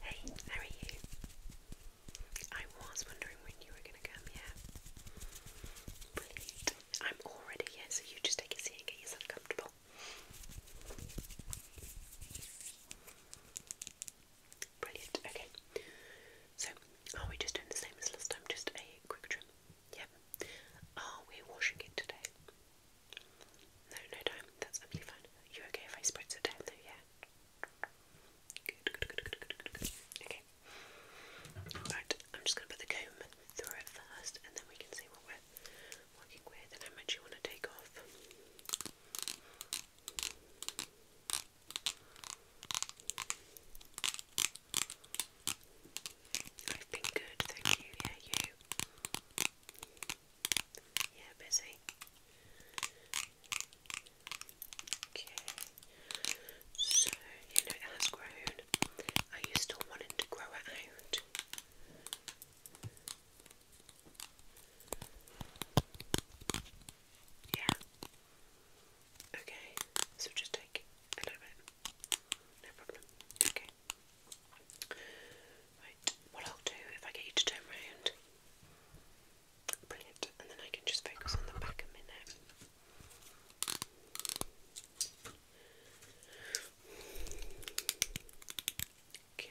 Hey, how are you? I was wondering when you were going to come, yeah? Brilliant. I'm already here, so you just take a seat and get yourself comfortable. Brilliant, okay. So, are we just doing the same as last time? Just a quick trim? Yep. Are we washing it today? No, no time. That's absolutely fine. You okay if I spritz it down though? Yeah. Good, good, good, good, good, good. Okay. Right. I'm just gonna put the comb through it first, and then we can see what we're working with and how much you want to take off. I've been good, thank you. Yeah, you. Yeah, busy. Okay. So, you know, it grown. Are you still wanting to grow it out? Yeah. Okay. So just take a little bit. No problem. Okay. Right, what I'll do if I get you to turn round, brilliant, and then I can just focus on the back a minute. Okay.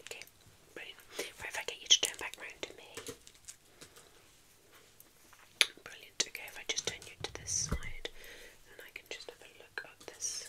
Okay, brilliant. Right, if I get you to turn back round to me. Brilliant. Okay, if I just turn you to this side, then I can just have a look at this.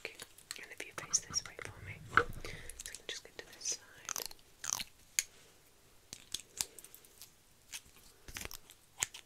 Okay, and if you face this way for me, so I can just get to this side.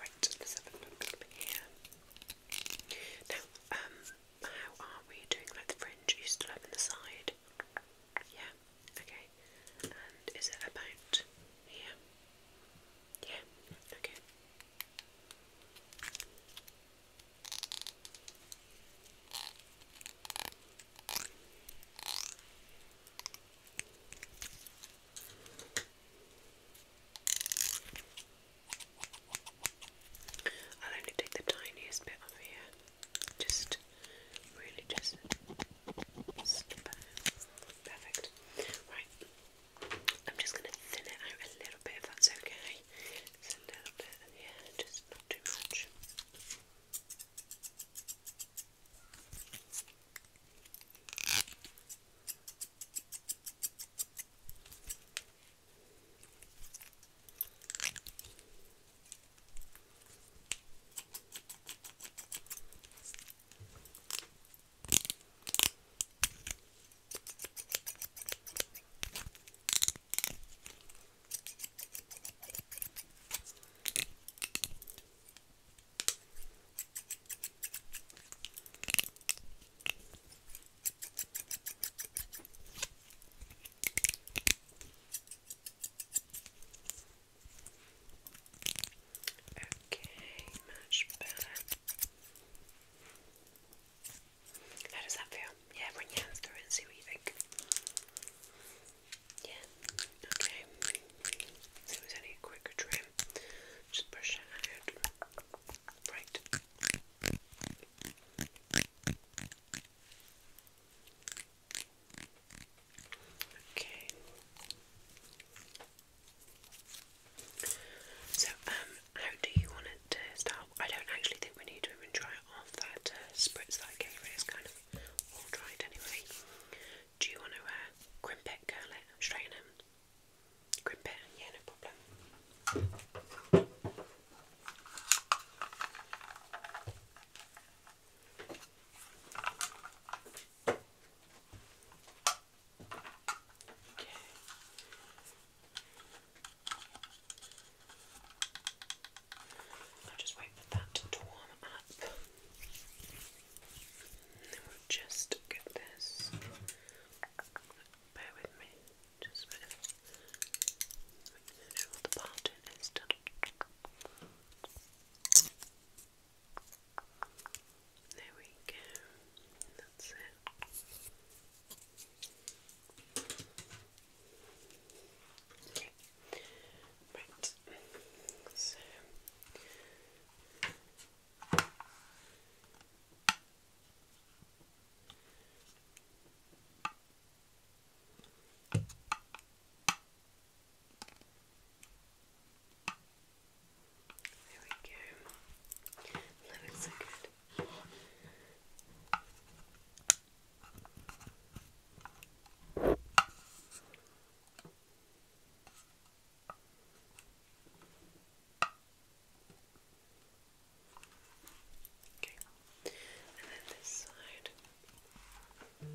Right, let's have Now, um, how are we doing like the fringe? you still up in the side? Yeah, okay. And is it about here? Yeah, okay. I'll only take the tiniest bit off here. Just really just Perfect. Right. I'm just gonna thin it out a little bit if that's okay a little bit here, just not too much. Okay. Okay, much better. How does that feel? Yeah, run your hands through and see what you think. Yeah, okay. It was only a trim. Just brush it out. Right. Okay. So, um, how do you want it to start? I don't actually think we need to even try it off. That uh, spritz that I gave it is kind of all dried anyway. Do you want to uh, crimp it, curl it, straighten it? Crimp it? Yeah, no problem. Okay. I'll just wait for that to warm up. then we'll just get this. Bear with me, just a minute. I know the pattern is done. There we go. That's it. Okay. Right. there we go. That looks so good. Okay, and then this side. Okay.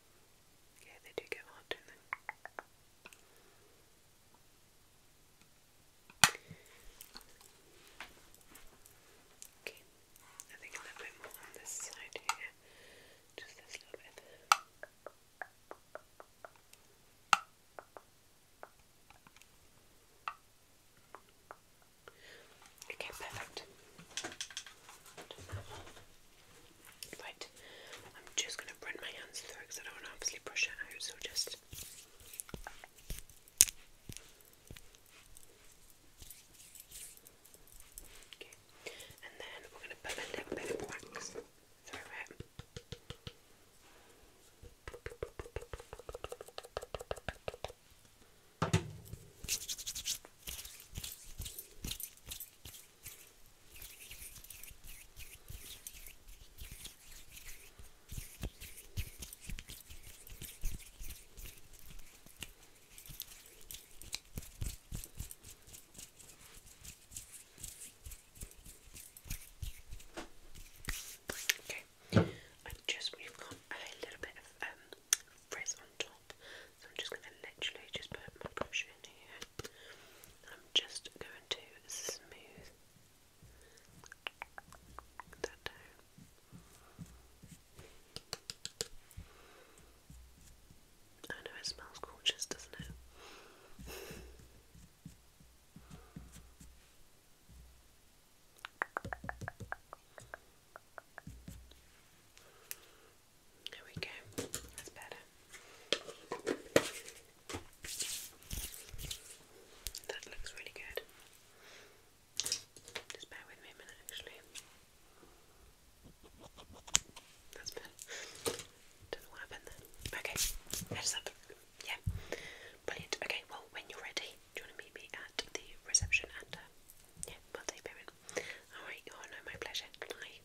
Okay. they do get hot, don't they? Okay, I think a little bit more on this side here. Just this little bit. Okay, perfect. Right, I'm just going to run my hands through because I don't want to obviously brush it out, so just. and then we're going to put a little bit of wax through it. Okay, i just we've got a little bit of um, frizz on top, so I'm just going to literally just put my brush in here. I'm just going to smooth that down. I know it smells gorgeous, doesn't it? There we go. That's better. That looks really good. Just bear with me a minute, actually. That's better. Don't know what happened then. Okay, Yeah, brilliant. Okay, well, when you're ready, do you want to meet me at the reception and uh, yeah, we'll take payment. Alright, oh no, my pleasure. Bye.